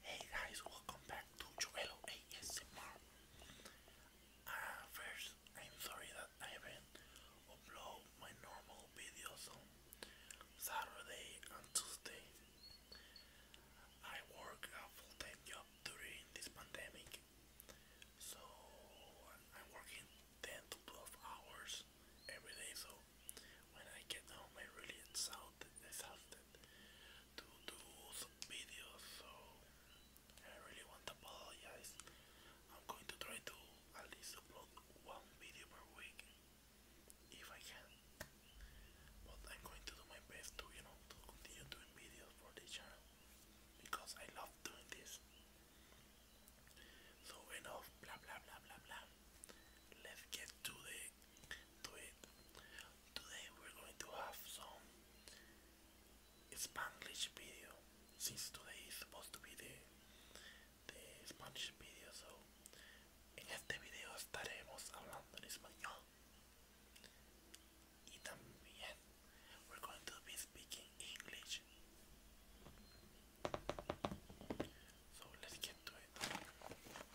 Hey guys, welcome back to Joello ASMR. Ah, first, I'm sorry that I haven't upload my normal videos on Saturday and Tuesday. I work a full-time job during this pandemic, so I'm working 10 to 12 hours every day, so when I get home I really exhausted exhausted, to do some videos, so I really want to apologize. I'm going to try to at least upload one video per week if I can, but I'm going to do my best to, you know, continue doing videos for the channel because I love doing this. So enough, blah blah blah blah blah. Let's get to the Today we're going to have some Spanish video since today is supposed to be the, Spanish video so en este video we we're going to be speaking English so let's get to it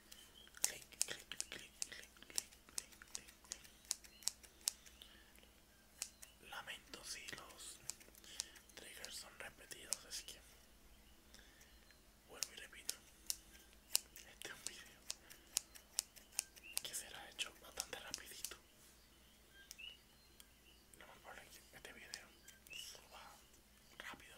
clic, clic, clic, clic, clic, Lamento si los triggers son repetidos, así que vuelvo y repito. Este un video que será hecho bastante rapidito. No este video rápido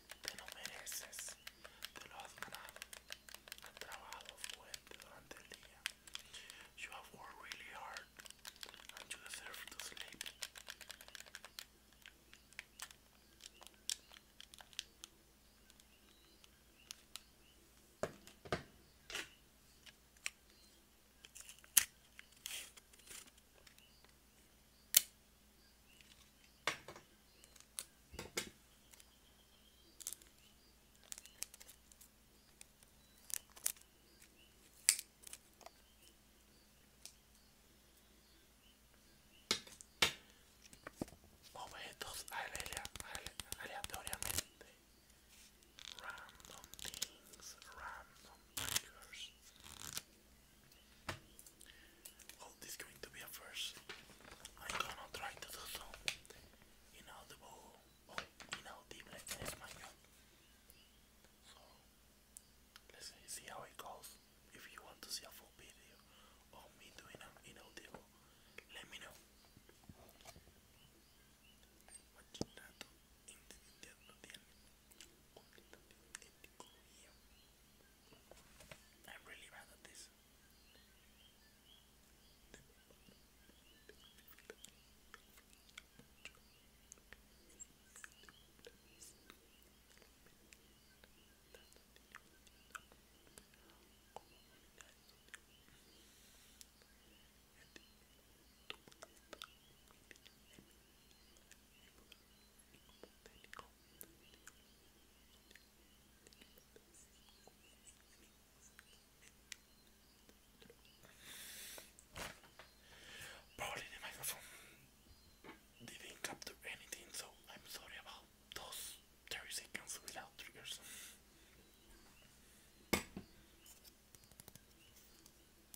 te You have worked really hard and you deserve to sleep. objetos ale ale aleatoriamente random things random triggers this is going to be a first. I'm gonna try to do so inaudible, oh, inaudible in Spanish. So, let see how it goes. If you want to see a full video of me doing an inaudible, let me know. Only the i really bad this. Probably the microphone didn't capture anything, so I'm sorry about those 30 seconds without triggers.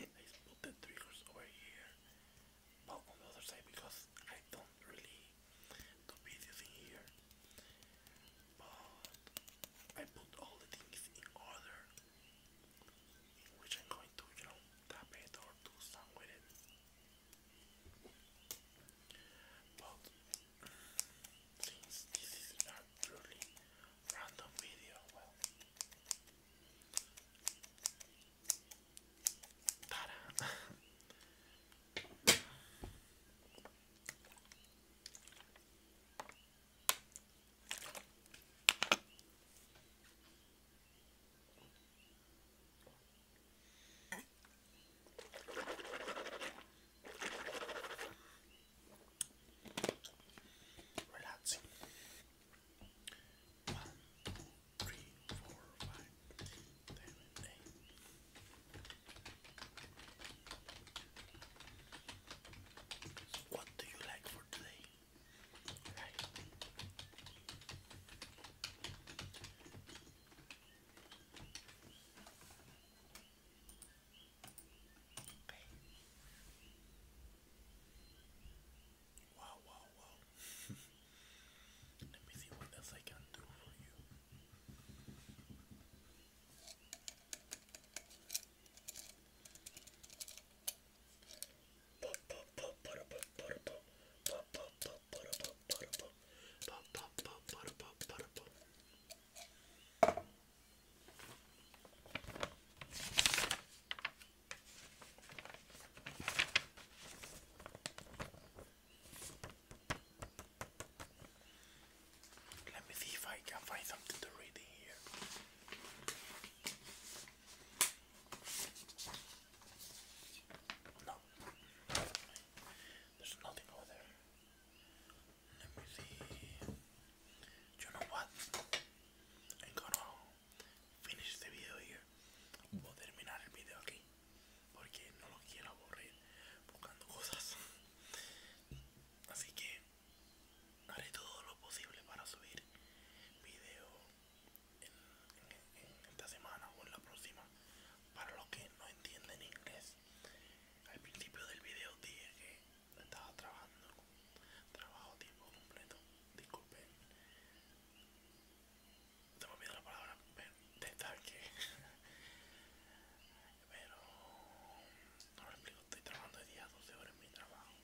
I put the triggers over here, but on the other side because I don't really do videos in here. But I put all the things in order, in which I'm going to, you know, tap it or do something with it. But since this is not truly random video. Well, ta relaxing. One, two, three, four, five, six, seven, eight. What do you like for today? Wow, wow, wow. Let me see what else I can do for you. Let me see if I can find something to read in here. No, there's nothing over there. Let me see. You know what? I'm finish video here. Voy terminar el video aquí. Porque no lo quiero aburrir buscando cosas. Así que haré todo lo posible para subir Vídeo en esta semana o en la próxima. Para los que no entienden inglés, al principio del video dije que estaba trabajando trabajo tiempo completo disculpen no me la palabra destaque pero no lo explico estoy trabajando de día 12 horas en mi trabajo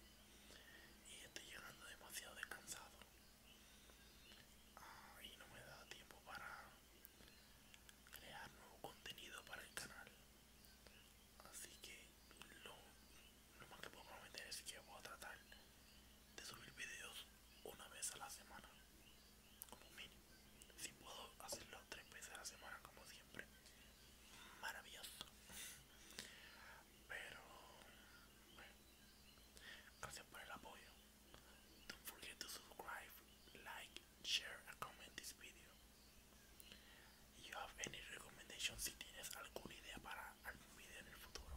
y estoy llegando demasiado descansado ah, y no me da tiempo para crear nuevo contenido para el canal Así que lo, más que puedo prometer es que voy a tratar de subir videos una vez a la semana, como mínimo. Si puedo hacerlo tres veces a la semana, como siempre, maravilloso. Pero, bueno, gracias por el apoyo. Don't forget to subscribe, like, share, and comment this video you have any recommendations si tienes alguna idea para algún video en el futuro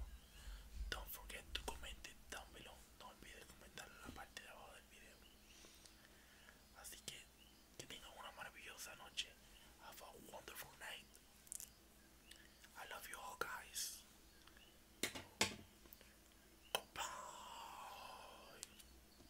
don't forget to comment it down no olvides comentar en la parte de abajo del video así que que tengan una maravillosa noche have a wonderful night I love you all guys goodbye